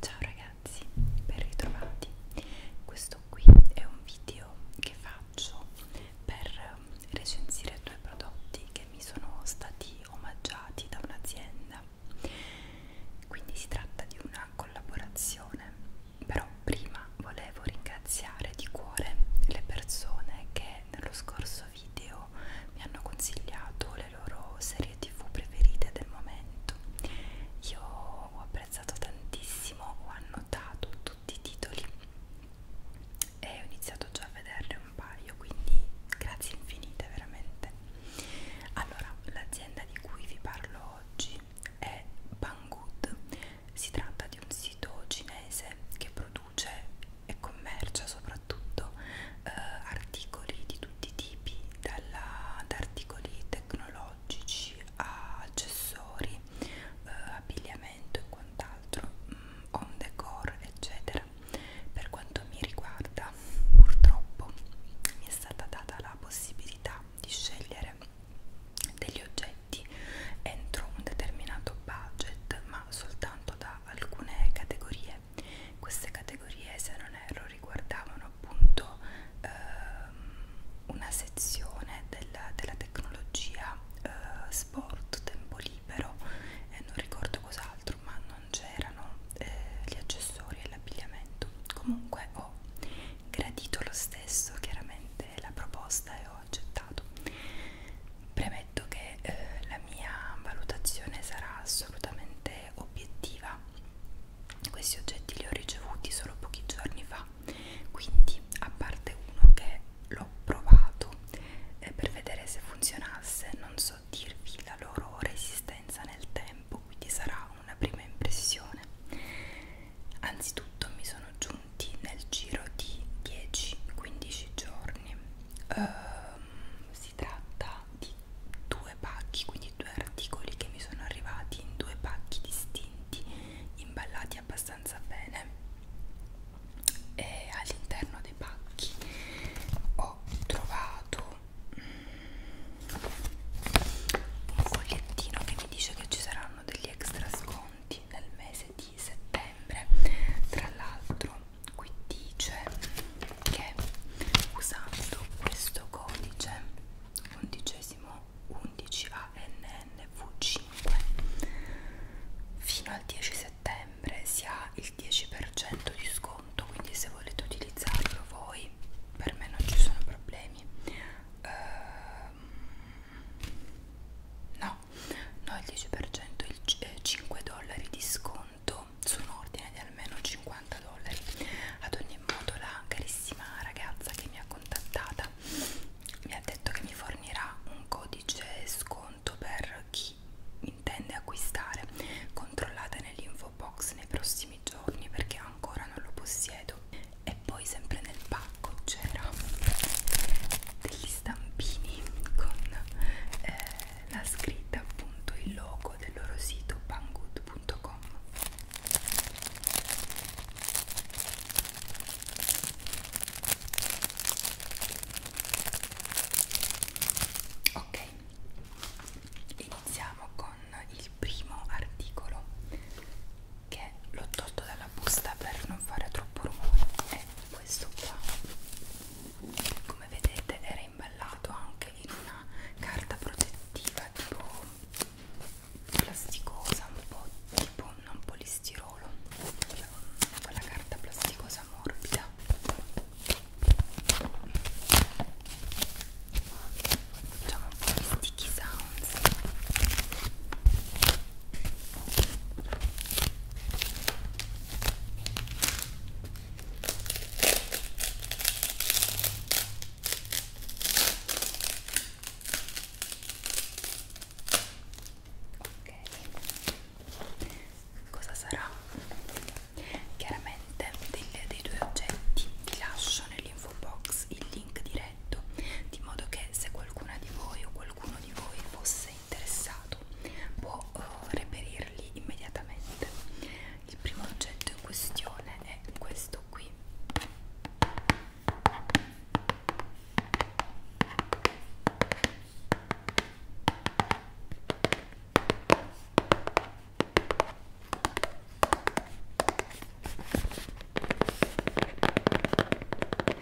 Ciao ragazzi, ben ritrovati. Questo qui è un video che faccio per um, recensire due prodotti che mi sono stati omaggiati da un'azienda. Quindi si tratta di una collaborazione però prima volevo ringraziare di cuore le persone che nello scorso video mi hanno consigliato le loro serie tv preferite del momento io ho apprezzato tantissimo ho annotato tutti i titoli e ho iniziato già a vederne un paio quindi grazie infinite veramente allora l'azienda di cui vi parlo oggi è Banggood si tratta di un sito cinese che produce e commercia soprattutto eh, articoli di tutti i tipi, dalla, da articoli tecnologici a accessori, eh, abbigliamento e quant'altro, mm, home decor, eccetera. Per quanto mi riguarda, purtroppo mi è stata data la possibilità di scegliere degli oggetti entro un determinato budget ma soltanto da alcune categorie queste categorie se non erro riguardavano appunto ehm, una sezione della, della tecnologia eh, sport tempo libero e eh, non ricordo cos'altro ma non c'erano eh, gli accessori e l'abbigliamento comunque ho gradito lo stesso chiaramente della proposta e ho accettato. Premetto che eh, la mia valutazione sarà assolutamente obiettiva. Questi oggetti li ho ricevuti solo pochi giorni fa, quindi a parte uno che l'ho provato eh, per vedere se funzionasse, non so dirvi la loro resistenza nel tempo, quindi sarà una prima impressione persone anzitutto mi sono giunti nel giro di 10-15 giorni um, si tratta di due pacchi quindi due articoli che mi sono arrivati in due pacchi distinti imballati abbastanza bene e all'interno dei pacchi ho trovato mm, un fogliettino che mi dice che ci saranno degli extra sconti pronti nel mese di settembre tra l'altro qui dice che usando questo codice undicesimo 11 ANNV5 fino al 10 settembre si ha il 10% di sconto quindi se volete utilizzarlo voi per me non ci sono problemi eh, no no il 10% il 5 eh, dollari di sconto su un ordine di almeno 50 dollari ad ogni modo la carissima ragazza che mi ha contattata mi ha detto che mi fornirà un codice sconto per chi intende acquistare controllate nell'info box nei prossimi giorni perché ancora non lo possiedo e poi sempre nel pacco c'era degli stampini con eh, la scritta appunto il logo del loro sito banggood.com ok iniziamo con il primo articolo che l'ho tolto dalla busta per non fare troppo rumore è questo qua come vedete era imballato anche in una carta protettiva tipo plasticosa un po' tipo non polistirolo cioè, quella carta plasticosa morbida facciamo un po' di sticky sounds Ok, cosa sarà? Chiaramente dei, dei due oggetti vi lascio nell'info box il link diretto perfetto di modo che se qualcuna di voi o qualcuno di voi fosse interessato può uh, reperirli immediatamente il primo oggetto in questione è questo qui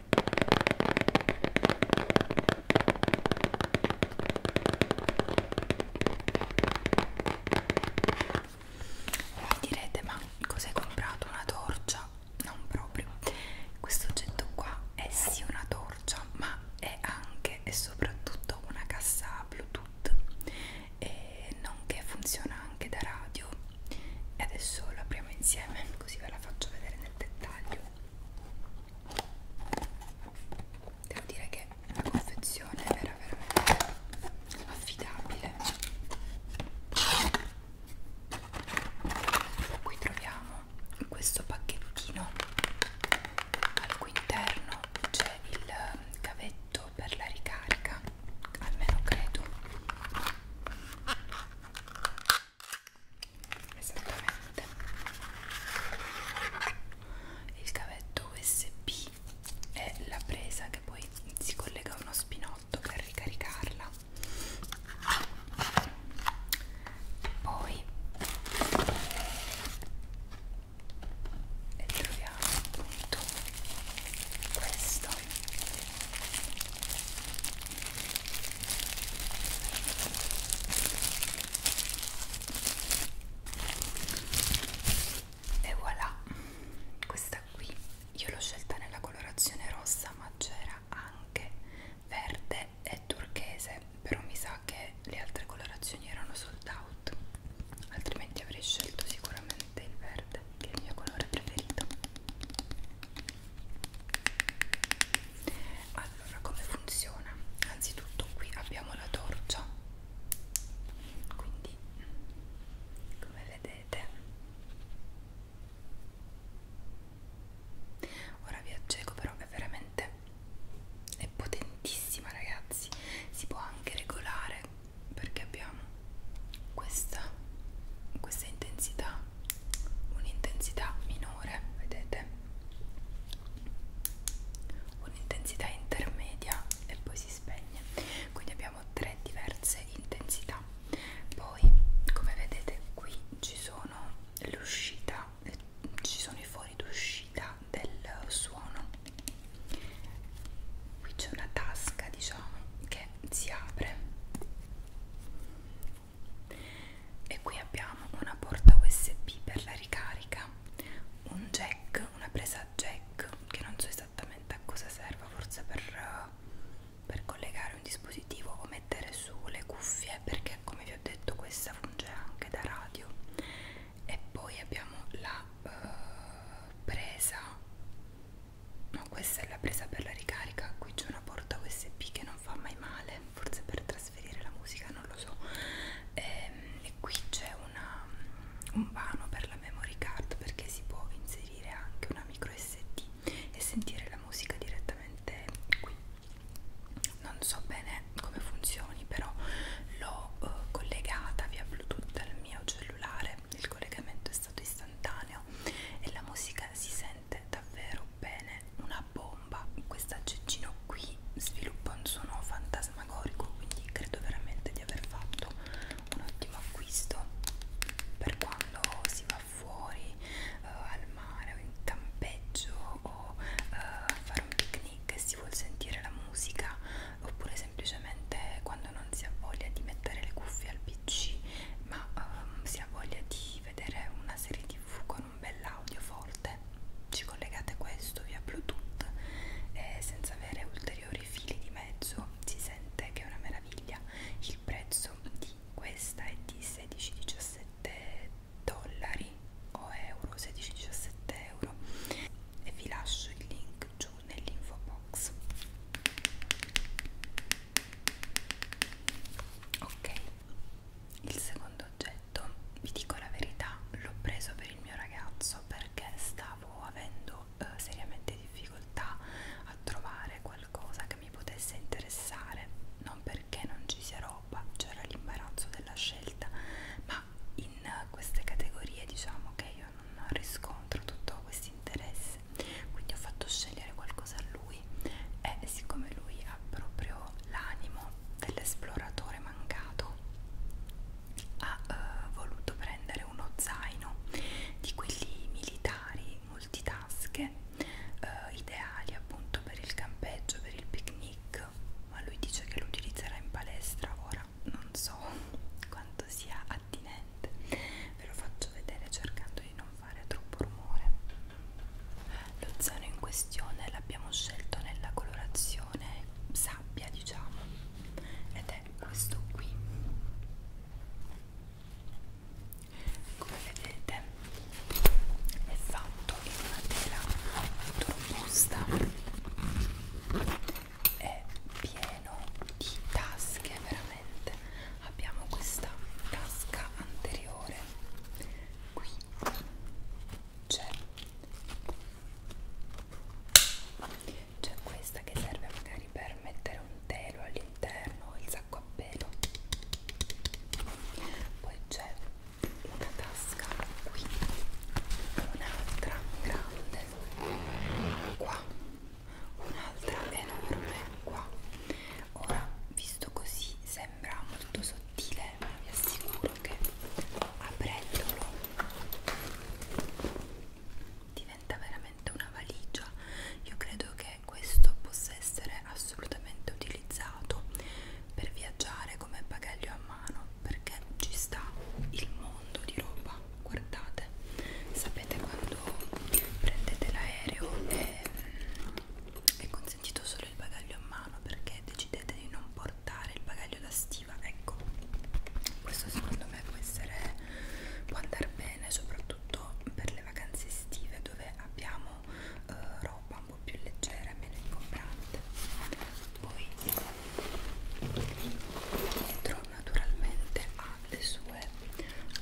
mi direte ma cos'hai comprato? Una torcia? Non proprio. Questo oggetto qua è sì una torcia ma è anche e soprattutto una cassa Bluetooth e nonché funziona anche da radio e adesso lo apriamo insieme così ve la faccio vedere nel dettaglio devo dire che la confezione era veramente affidabile qui troviamo questo pacchettino al cui interno c'è il cavetto per la ricarica almeno credo esattamente il cavetto usb è la presa che poi si collega a uno spinotto per ricaricarla poi e troviamo appunto questo e voilà questa qui io l'ho scelta nella colorazione rossa ma c'era anche verde e turchese però mi sa che le altre colorazioni erano sold out altrimenti avrei scelto sicuramente il verde che è il mio colore preferito allora come funziona anzitutto qui abbiamo la torcia quindi come vedete ora vi accego però è veramente è potentissima ragazzi si può anche regolare perché abbiamo questa, questa intensità un'intensità minore, vedete? Un'intensità intermedia e poi si spegne. Quindi abbiamo tre diverse intensità. Poi, come vedete, qui ci sono l'uscita, ci sono i fori d'uscita del suono. Qui c'è una tasca, diciamo, che si apre e qui abbiamo una porta usb per la ricarica un jack una presa jack che non so esattamente a cosa serva forse per, per collegare un dispositivo o mettere su le cuffie perché come vi ho detto questa funge anche da radio e poi abbiamo la uh, presa no questa è la presa per la ricarica qui c'è una porta usb che non fa mai male forse per trasferire la musica non lo so e, ehm, e qui c'è un vano per la memory card perché si può inserire anche una micro sd e sentire la musica direttamente qui non so bene come funzioni però l'ho eh, collegata via bluetooth al mio cellulare il collegamento è stato istantaneo e la musica si sente veramente davvero bene una bomba questa Cecino qui sviluppa un suono fantasmagorico quindi credo veramente di aver fatto un ottimo acquisto per quando si va fuori uh, al mare o in campeggio o uh, eh, a fare un picnic e si vuol sentire la musica oppure semplicemente quando non si ha voglia di mettere le cuffie al pc ma um, si ha voglia di di vedere una serie tv con un bel audio forte ci collegate questo via bluetooth e senza avere ulteriori fili di mezzo si sente che è una meraviglia il prezzo di questa è di 16-17 dollari o euro 16-17 euro e vi lascio il link giù nell'info box ok il secondo oggetto vi dico la verità l'ho preso per il mio ragazzo perché stavo avendo eh, seriamente difficoltà a trovare qualcosa che mi potesse interessare non perché non ci sia roba c'era l'imbarazzo della scelta ma in queste categorie diciamo che io non riscontro tutto questo interesse mese quindi ho fatto scegliere qualcosa a lui e siccome lui ha proprio l'animo dell'esploratore mancato ha eh, voluto prendere uno zaino di quelli militari multitasche eh, ideali appunto per il campeggio per il picnic ma lui dice che lo utilizzerà in palestra ora non so quanto sia attinente ve lo faccio vedere cercando di non fare troppo rumore lo zero in questione l'abbiamo scelto nella colorazione sabbia diciamo ed è questo qui come vedete è fatto in una tela molto robusta è pieno di tasche veramente praticamente abbiamo questa tasca anteriore qui c'è c'è questa che serve magari per mettere un telo all'interno il sacco a pelo poi c'è una tasca qui un'altra grande qua un'altra enorme qua ora visto così sembra molto sottile ma vi assicuro che aprendolo diventa veramente una valigia io credo che questo possa essere assolutamente utilizzato per viaggiare come bagaglio a mano perché ci sta il mondo di roba guardate sapete quando prendete l'aereo e mm, è consentito solo il bagaglio a mano perché decidete di non portare il bagaglio da stiva ecco questo secondo me può essere può andare bene soprattutto per le vacanze estive dove abbiamo eh, roba un po' più leggera meno ingombrante poi dietro naturalmente ha le sue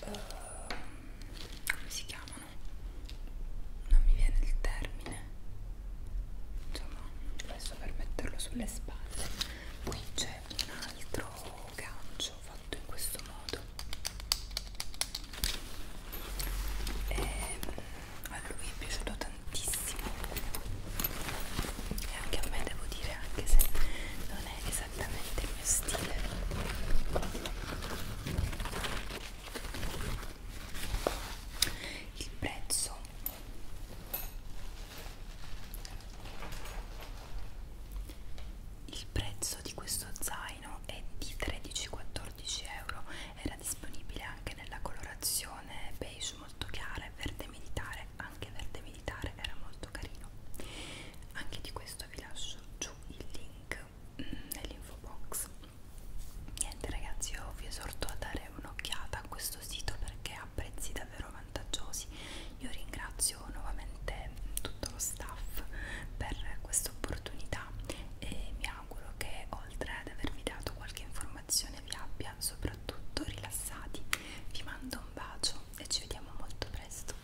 eh, come si chiamano sono non mi viene il termine insomma adesso per metterlo sulle spalle qui c'è un altro gancio fatto in questo modo e ehm, a lui è piaciuto tantissimo e anche a me devo dire anche se non è esattamente il mio stile il prezzo il prezzo di questo zaino è di 13-14 euro era disponibile anche nella colorazione beige molto chiara e verde militare anche verde militare era molto carino anche di questo vi lascio giù il link Mm, nell'info box niente ragazzi io vi esorto a dare un'occhiata a questo sito perché ha prezzi davvero vantaggiosi io ringrazio nuovamente tutto lo staff per questa opportunità e mi auguro che oltre ad avervi dato qualche informazione vi abbia soprattutto rilassati vi mando un bacio e ci vediamo molto presto